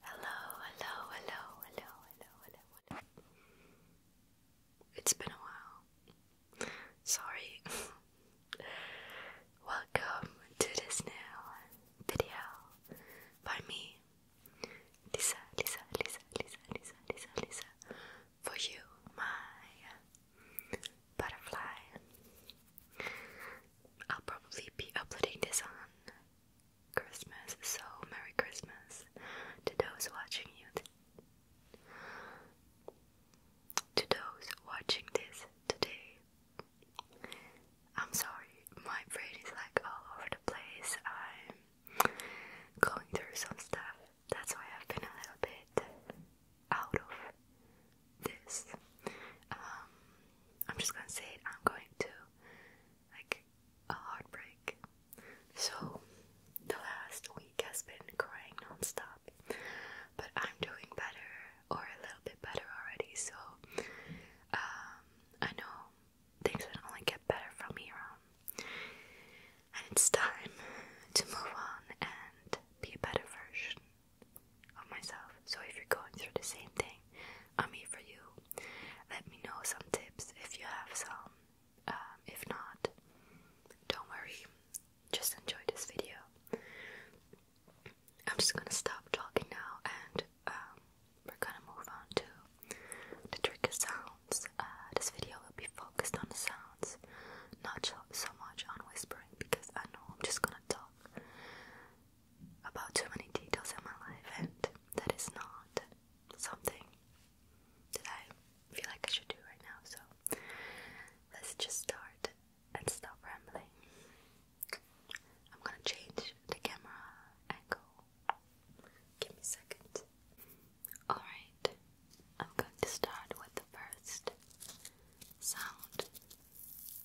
Hello, hello, hello, hello, hello, hello, hello. It's been a while. Sorry. Welcome to this new video by me, Lisa, Lisa, Lisa, Lisa, Lisa, Lisa, Lisa, for you, my butterfly. I'll probably be uploading this on Christmas, so Merry Christmas to those watching you. To those watching this today, I'm sorry, my brain is like all over the place. I'm going through some stuff, that's why I've been a little bit out of this. Um, I'm just gonna say I'm going to like a heartbreak. So, the last week has been crying non but I'm doing better or a little bit better already. So, um, I know things will only get better from here and it's time to move on and be a better version of myself. So if you're going through the same thing, I'm here for you. Let me know some tips if you have some. Um, if not, don't worry. Just enjoy this video. I'm just gonna stop talking now and um, we're gonna move on to the trick trigger sounds. Uh, this video will be focused on the sounds, not so much on whispering because I know I'm just gonna talk about too many details in my life, and that is not something that I feel like I should do right now. So let's just start and stop rambling. I'm gonna change the camera angle. Give me a Alright, I'm going to start with the first sound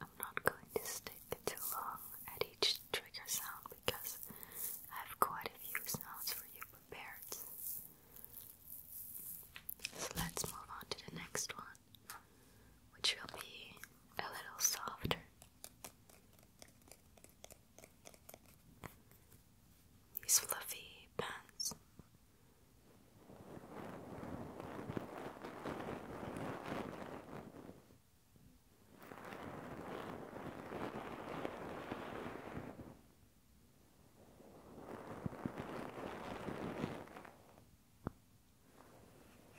I'm not going to stick too long at each trigger sound because I have quite a few sounds for you prepared. So let's move on to the next one, which will be a little softer. These fluffy pants.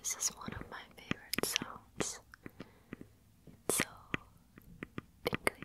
This is one of my favorite sounds so tingly.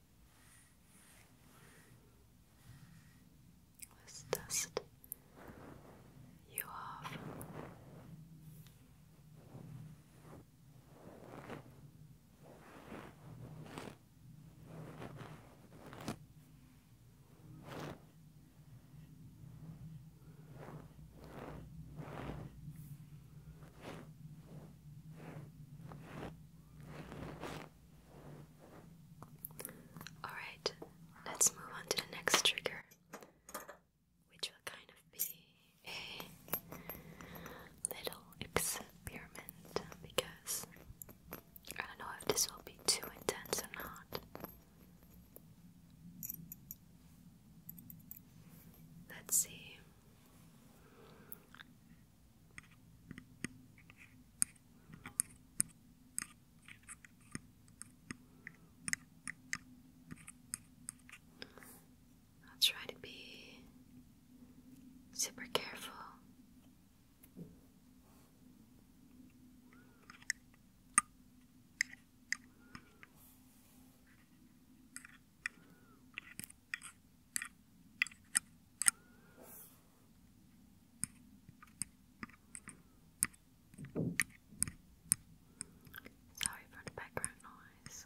let you off. Alright, let's move on to the next trigger, which will kind of be a little experiment because I don't know if this will be too intense or not. Let's see. I'll try to be super careful. Sorry for the background noise.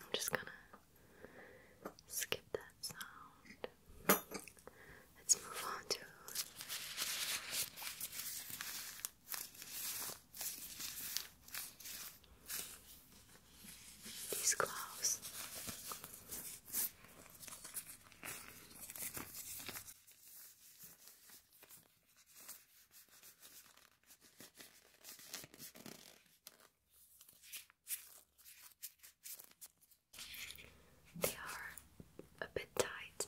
I'm just gonna skip that sound. Let's move on to these gloves. They are a bit tight.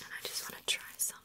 And I just want to try something.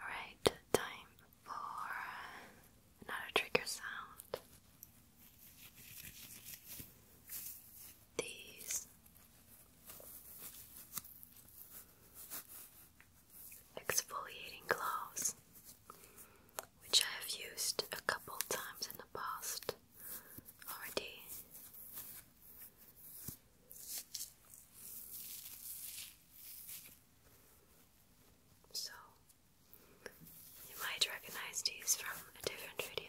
Alright, time for another trigger sound. These exfoliating gloves, which I have used a couple times in the past already. So, you might recognize these from a different video.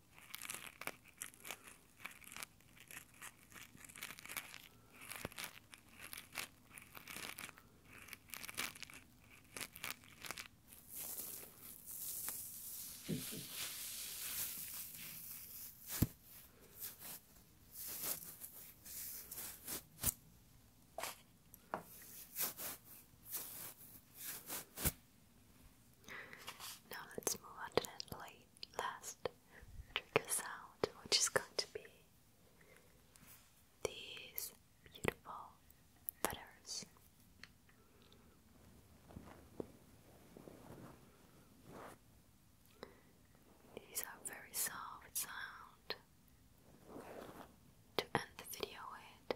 Now let's move on to that last trigger sound, which is going to be these beautiful feathers. These are very soft sound to end the video with.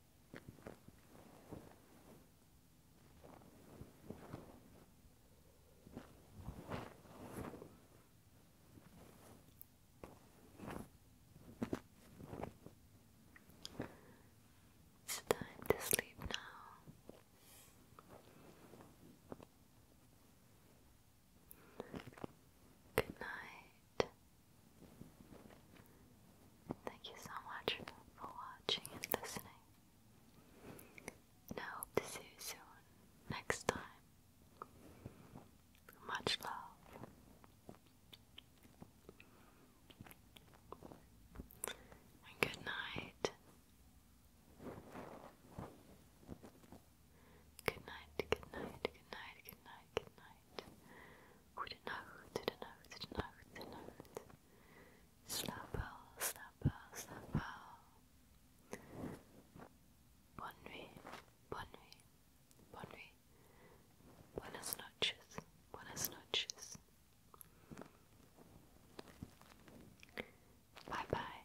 It's time to sleep now. Good night. Thank you so much for watching and listening. And I hope to see you soon next time. Much love. And good night. Good night, good night, good night, good night, good night right. Goede nacht, de nacht, de nacht, Bonne nuit, bonne nuit, bonne nuit. Buenas noches, buenas noches. Bye bye.